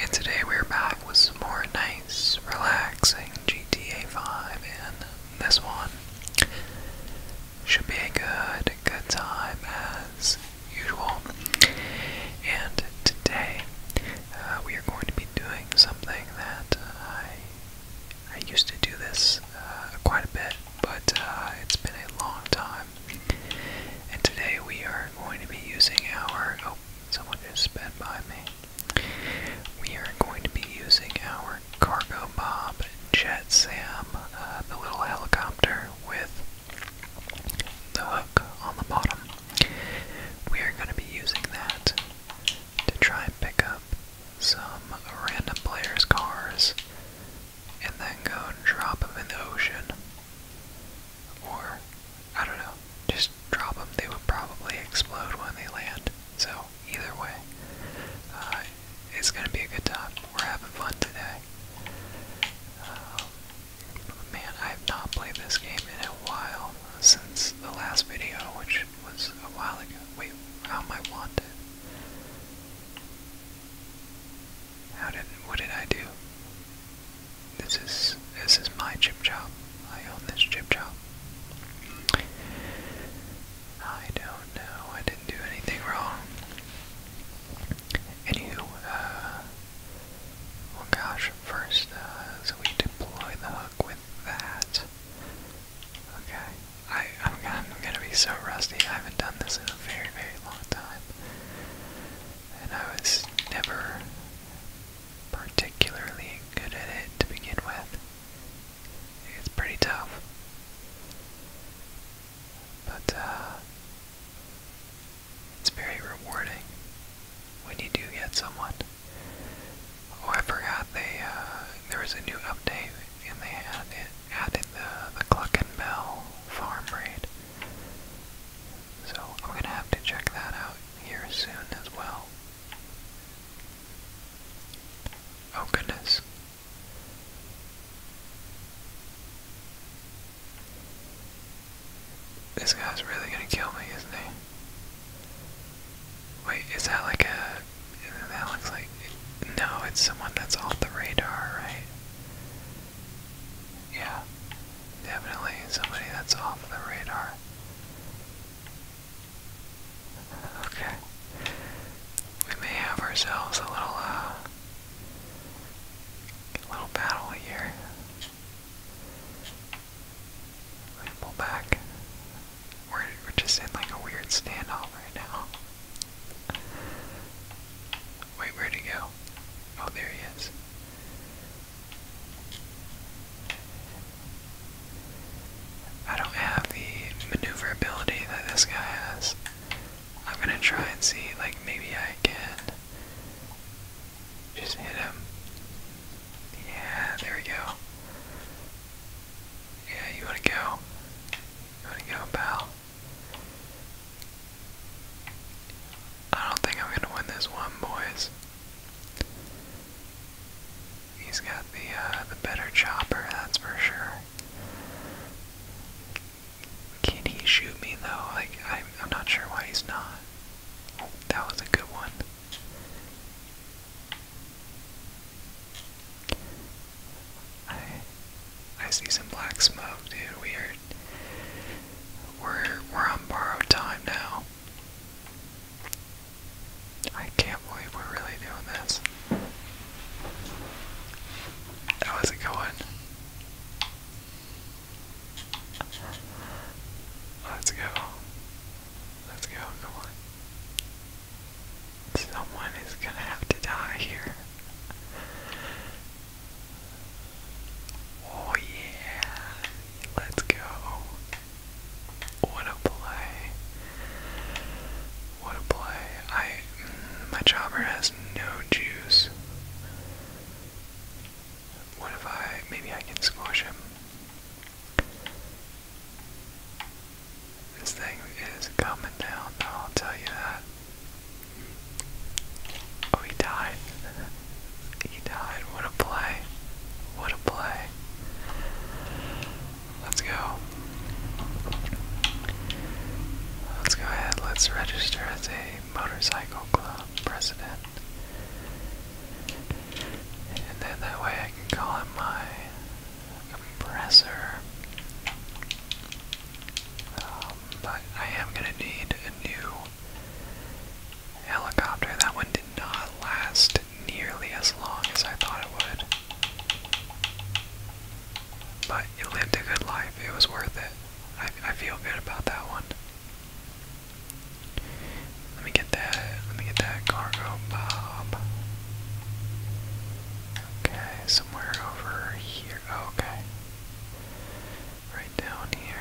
And today we're back with some more nice, relaxing GTA 5, and this one should be a good, good time as usual. And today uh, we are going to be doing something that I I used to do this uh, quite a bit, but uh, it's been a long time and today we are going to be using our. Oh, someone just sped by me. We are going to be using our Cargo Bob Jet Sam, uh, the little helicopter with the hook on the bottom. We are going to be using that to try and pick up some random players' cars and then go and drop them in the ocean. Or, I don't know, just drop them. They would probably explode when they land. So, either way, uh, it's going to be a good time. We're having fun today. Um, man, I have not played this game in a while since the last video, which was a while ago. Wait, how am I wanted? How did what did I do? This is this is my chip job. I own this chip job. I don't know. I didn't do anything wrong. Anywho, uh, oh gosh. First, uh, we deploy the hook with that. Okay. I I'm gonna be so rusty. I haven't done this in a very very long time and I was never particularly good at it to begin with. It's pretty tough. But uh, it's very rewarding when you do get someone. Oh, I forgot they uh, there was a new update and they had it added the the Cluck and Bell farm raid. So I'm gonna have to check that out here soon as well. Oh goodness. This guy's really gonna kill me, isn't he? Wait, is that like a. That looks like. No, it's someone that's off the radar, right? Yeah, definitely somebody that's off the radar. Okay. We may have ourselves a little, uh, little battle here. pull back. We're, we're just in like a weird standoff right now. Wait, where'd he go? Oh, there he is. I don't have the maneuverability that this guy has. I'm gonna try and see, like, maybe I can just hit him. Yeah, there we go. Yeah, you wanna go? You wanna go, pal? I don't think I'm gonna win this one, boys. He's got the uh, the better chopper, that's for sure. Can he shoot me though? Like I'm, I'm not sure why he's not. that was a good one. I I see some black smoke, dude. Weird. We're we're on borrowed time now. I can't believe we're really doing this. How is it going? Let's go. Let's go, come on. Someone is gonna have to die here. Oh yeah, let's go. What a play. What a play. I mm, my chopper has no juice. What if I maybe I can squash him? This thing is coming down, I'll tell you that. Oh, he died. He died. What a play. What a play. Let's go. Let's go ahead. Let's register as a motorcycle club president. And then that way I can call him my compressor. Um, but I am gonna need a new helicopter. That one did not last nearly as long as I thought it would. But it lived a good life. It was worth it. I, I feel good about that one. Let me get that. Let me get that cargo bob. Okay, somewhere over here okay. Right down here.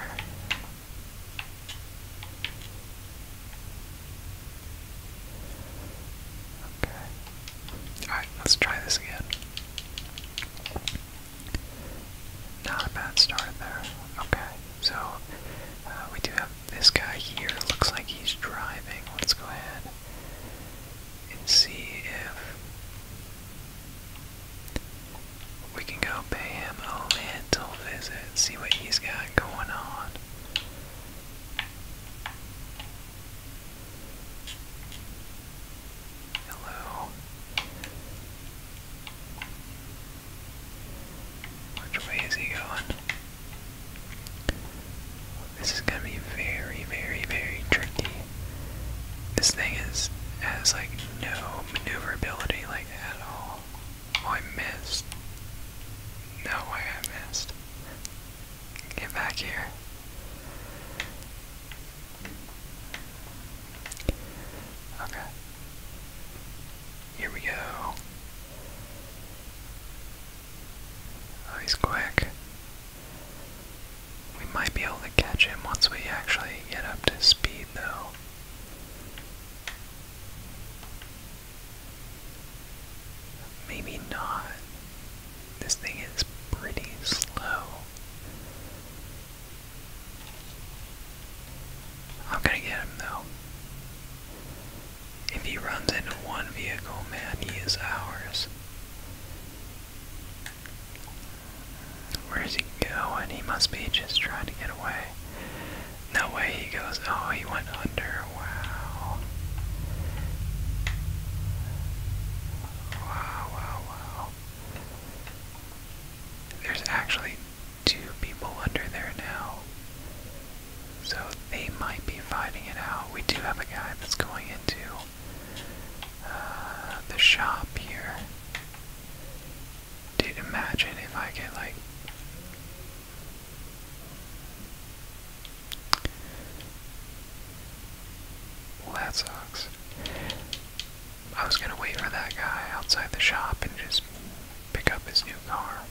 Okay. Alright, let's try this again. Not a bad start there. Okay, so uh, we do have this guy here. Looks like he's driving. Let's go ahead and see if we can go pay him a little visit, see what he's got going on. Hello. Which way is he going? This is gonna be very, very, very tricky. This thing is has like no maneuverability like at all. Oh, I missed. No way I missed. Get back here. Okay. Here we go. Oh, quick. We might be able to catch him once we actually get up to speed, though. Maybe not. This thing is pretty slow. I'm going get him though. If he runs into one vehicle, man, he is ours. Where is he going? He must be just trying to get away. No way he goes. Oh, he went under. Wow. Wow, wow, There's actually two people under there now. So they might be fighting it out. We do have a guy that's going into uh, the shop here. Dude, imagine if I get like. Well, that sucks. I was gonna wait for that guy outside the shop and just pick up his new car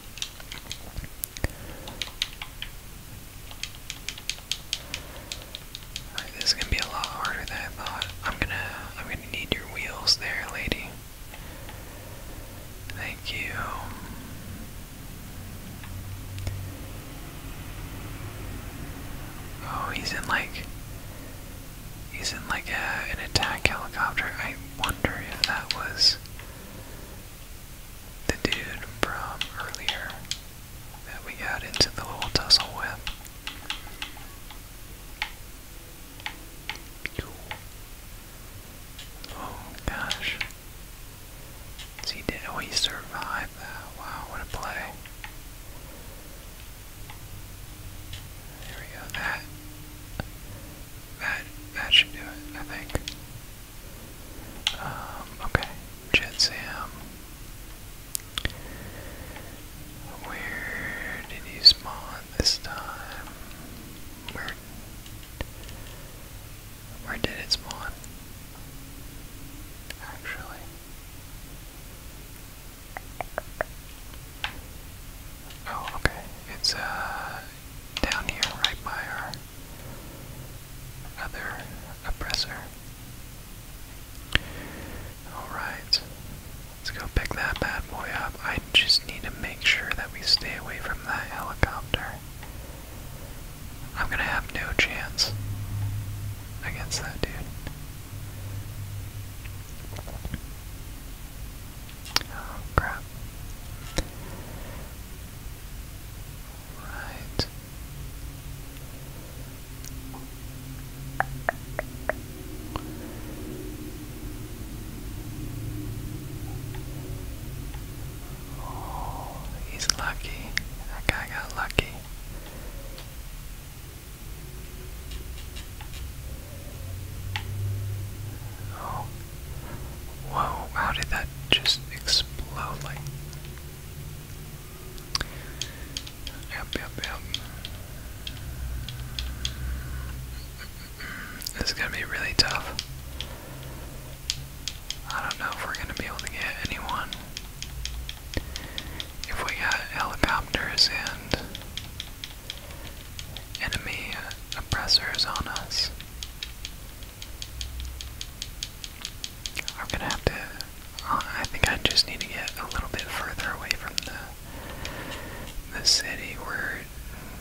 this is gonna be a lot harder than I thought. I'm gonna I'm gonna need your wheels there, lady. Thank you. Oh, he's in like he's in like a, an attack helicopter. I wonder if that was the dude from earlier that we got into the little tussle with. Oh gosh. See, did oh he that? Wow, what a play! There we go. That, that, that should do it. I think. Um, okay, Jet Sam. Where did he spawn this time? Where? Where did it spawn? Actually. Oh, okay. It's uh down here, right by our other oppressor. Alright, let's go pick that bad boy up. I just need to make sure that we stay away from that helicopter. I'm gonna have no chance against that dude. Oh crap. Right. Oh, he's lucky. That guy got lucky. Oh. Whoa, how did that just explode like Yep, yep, yep. This is going to be really tough. I don't know if we're going to be able to get anyone. If we got helicopters and enemy oppressors on us, I'm gonna have to. Uh, I think I just need to get a little bit further away from the the city. We're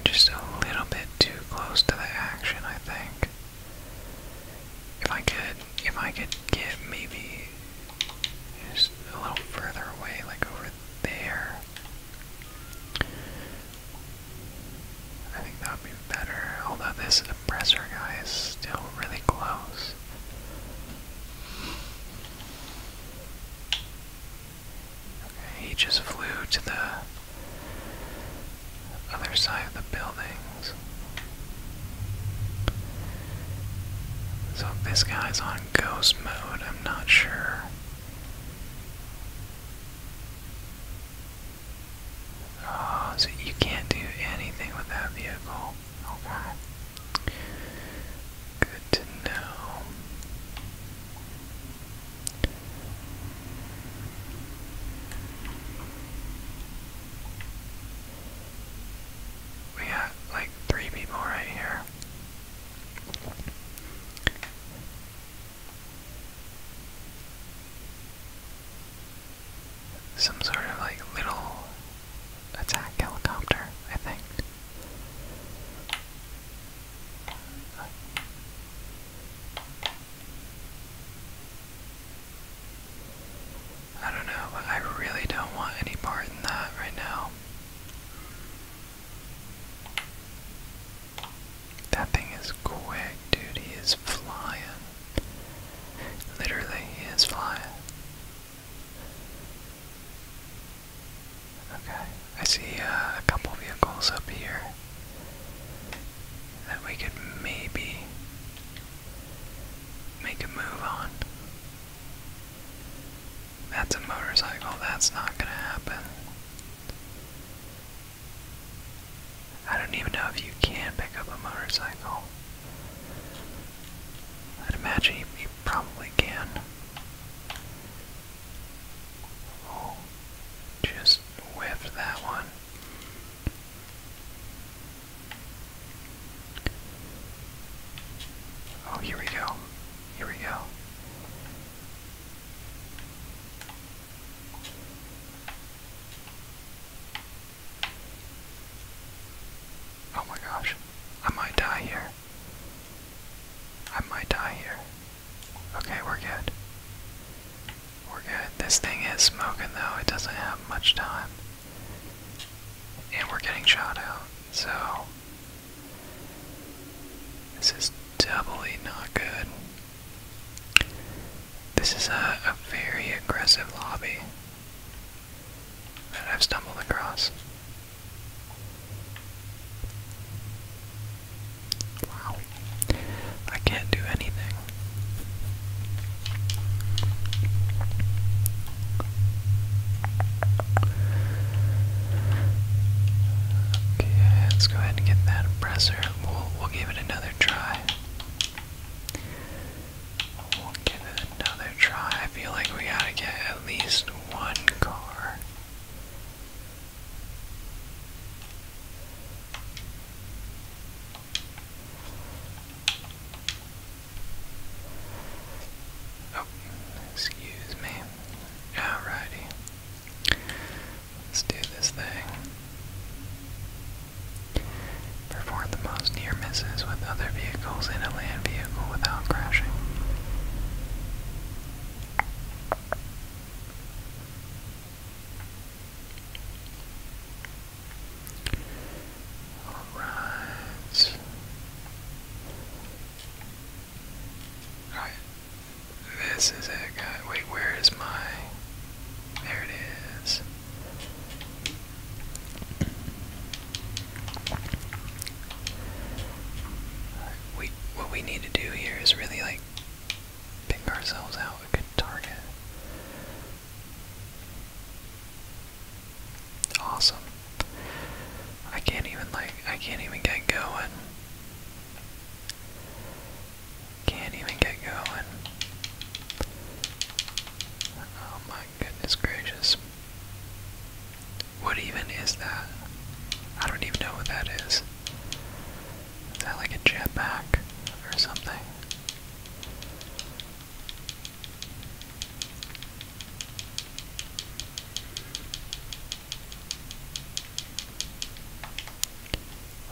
just a little bit too close to the action. I think. If I could, if I could get maybe just a little further away, like over there. I think that would be better, although this oppressor guy is still really close. he just flew to the other side of the buildings. So this guy's on ghost mode, I'm not sure. Oh, so you can't do anything with that vehicle. Good to know. We got like three people right here. Some sort of like little attack helicopter, I think. I don't know, I really don't want any part in that right now. That thing is quick, dude. He is flying. Literally, he is flying. Okay, I see uh, a couple vehicles up here that we could maybe make a move on. That's a motorcycle, that's not gonna happen. I don't even know if you can pick up a motorcycle. I'd imagine you, probably can. Oh, just whiffed that one. Oh, here we go. Here we go. Oh my gosh, I might die here. I might die here. Okay, we're good. We're good. This thing is smoking though, it doesn't have much time. And we're getting shot out, so. This is definitely not good. This is a, very aggressive lobby that I've stumbled across. Wow. I can't do anything. Okay, let's go ahead and get that oppressor. We'll, give it another try. We'll give it another try. I feel like we gotta get at least one car. Oh, excuse me. Alrighty. Let's do this thing. Perform the most near misses with other vehicles in a land vehicle without crashing. Alright. Alright, this is it, guy. Wait, where is my. There it is. We, what we need to do here is really like pick ourselves out a good target. Awesome. I can't even like I can't even get going. Can't even get going. Oh my goodness gracious. What even is that? I don't even know what that is. Is that like a jetpack or something?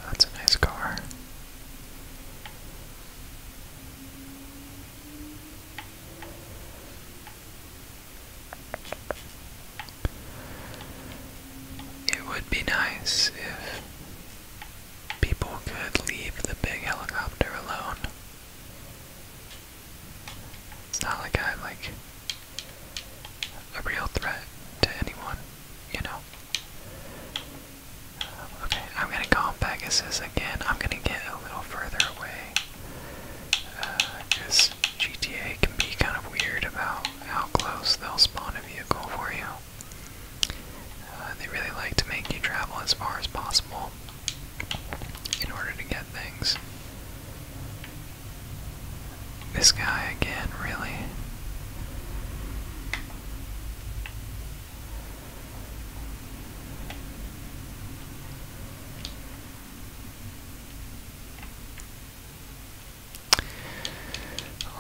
That's a nice car. It would be nice if people could leave the big helicopter alone. It's not like I like a real threat to anyone, you know. okay, I'm gonna call Pegasus again. I'm gonna get a little further away. Because uh, GTA can be kind of weird about how close they'll spawn a vehicle for you. Uh, they really like to make you travel as far as possible in order to get things. This guy again, really.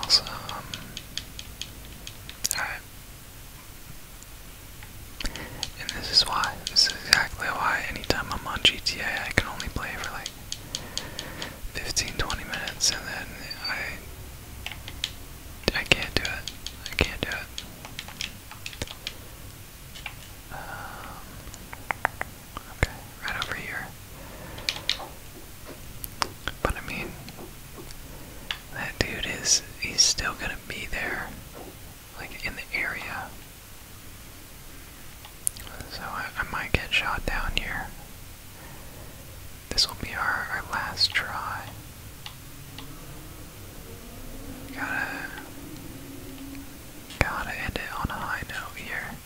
Also, um, alright. And this is why, this is exactly why anytime I'm on GTA I can only play for like 15 20 minutes and then I I can't do it. I can't do it. Um, okay, right over here. But I mean, that dude is, he's still gonna be there, like in the area. So I, might get shot down here. This will be our, our last try. Gotta, gotta end it on a high note here.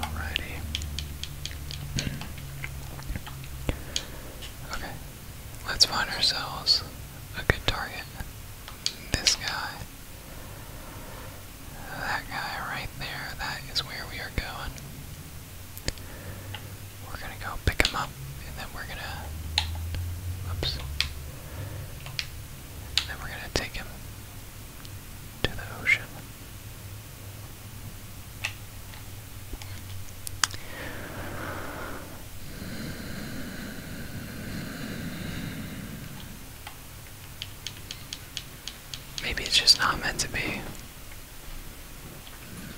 Alrighty. Okay, let's find ourselves a good target. This guy. That guy right there, that is where we are going. We're gonna go pick him up, and then we're gonna. Oops. Then we're going to take him to the ocean. Maybe it's just not meant to be.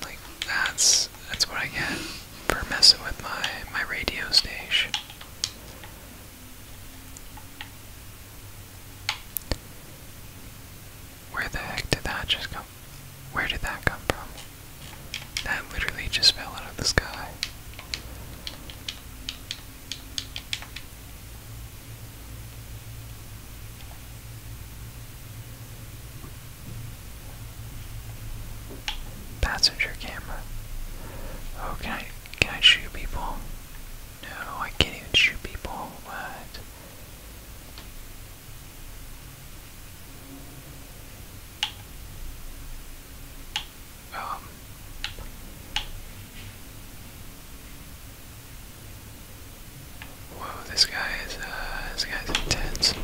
Like that's that's what I get for messing with my my radio station. Where the heck did that just come? Where did that come from? That literally just fell out of the sky. Passenger camera. Oh, can I, can I shoot people? No, I can't even shoot people. What? Um. Whoa, this guy is, uh, this guy's intense.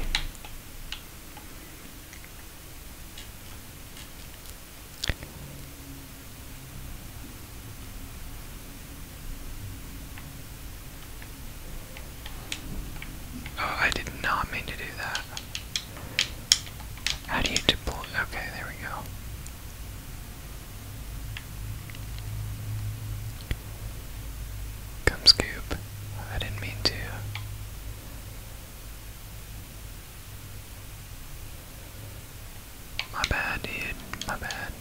Oh, I did not mean to do that. How do you deploy? Okay, there we go. Come scoop. I didn't mean to. My bad, dude. My bad.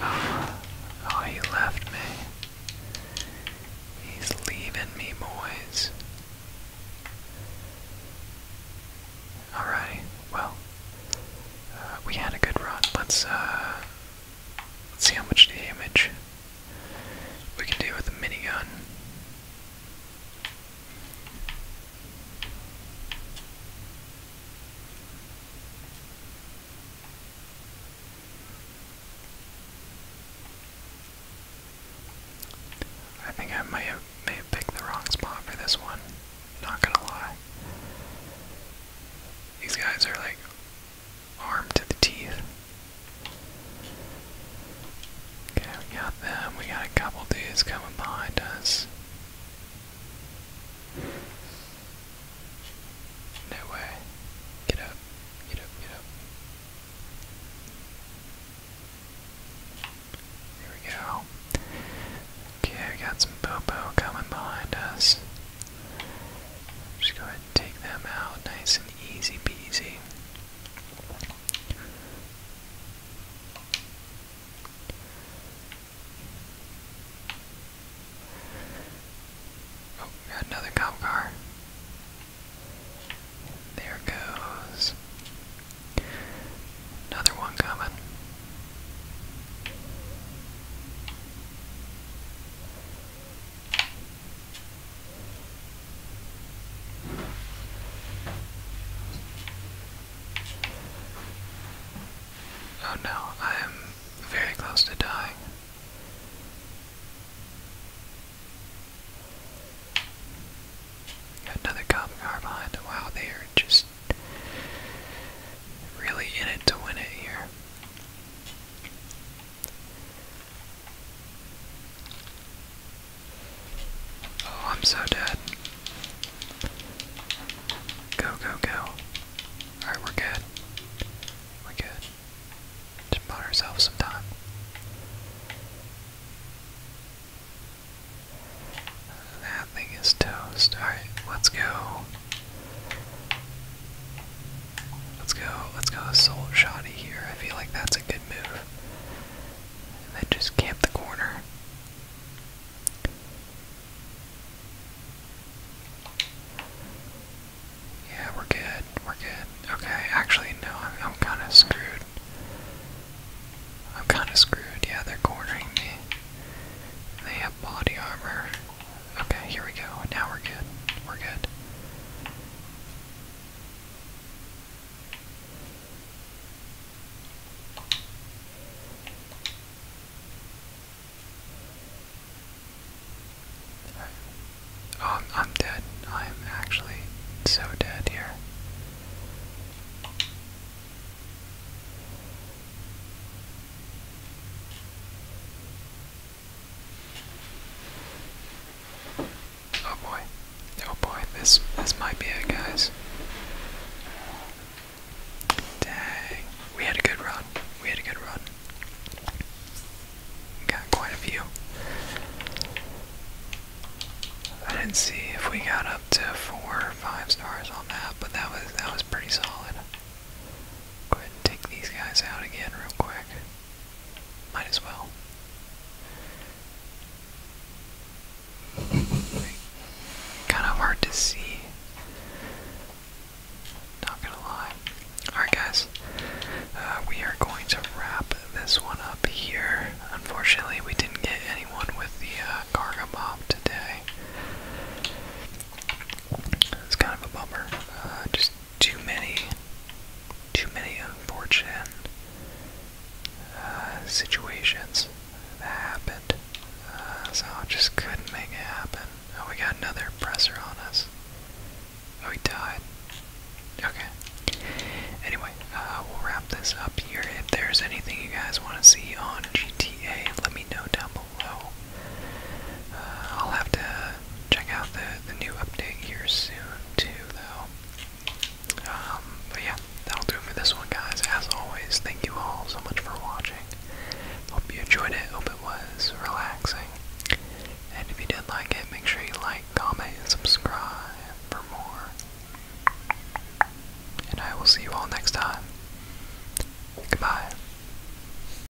Oh, oh, he left me. He's leaving me, boys. Alrighty, well, uh, we had a good run. Let's, uh, let's see how much damage we can deal with a minigun. I think I may have may picked the wrong spot for this one. Not gonna lie. These guys are like arm to the teeth. Okay, we got them. We got a couple dudes coming behind us. No way. Get up. Get up, get up. Here we go. Okay, we got some Bobo coming behind us. Just go ahead and take them out nice and easy peasy. Oh, got another cop car. There goes. Another one coming. Oh no, I am very close to dying. another cop car behind. Wow, they are just really in it to win it here. Oh, I'm so dead. Go, go, go. Alright, we're good. We're good. Just bought ourselves some time. That thing is toast. Alright, let's go. Let's go. Let's go assault shoddy here. I feel like that's a good move. And then just camp the corner. Yeah, we're good. We're good. Okay, actually, no, I'm kind of screwed. I'm kind of screwed. Yeah, they're cornering me. They have body armor. Okay, here we go. Now we're good. We're good. Oh, I'm dead. I'm actually so dead here. Oh boy. Oh boy, this this might be it guys. Dang. We had a good run. We had a good run. Got quite a few. I didn't see if we got up to four or five stars on that, but that was that was pretty solid. Go ahead and take these guys out again real quick. Might as well. Kind of hard to see. Not gonna lie. Alright, guys. Uh, we are going to wrap this one up here. Unfortunately, we didn't get anyone with the uh, cargo Garga today. It's kind of a bummer. Uh, just too many, too many unfortunate uh, situations that happened. Uh, so I just couldn't make it happen. Oh, we got another presser on us. Oh, he died. Okay. Anyway, uh, we'll wrap this up here. If there's anything you guys want to see on GTA, let me know down below low. I'll have to check out the, the new update here soon, too, though. Um, but yeah, that'll do it for this one, guys. As always, thank you all so much for watching. Hope you enjoyed it. Hope it was relaxing. And if you did like it, make sure you like, comment, and subscribe for more. And I will see you all next time. Goodbye.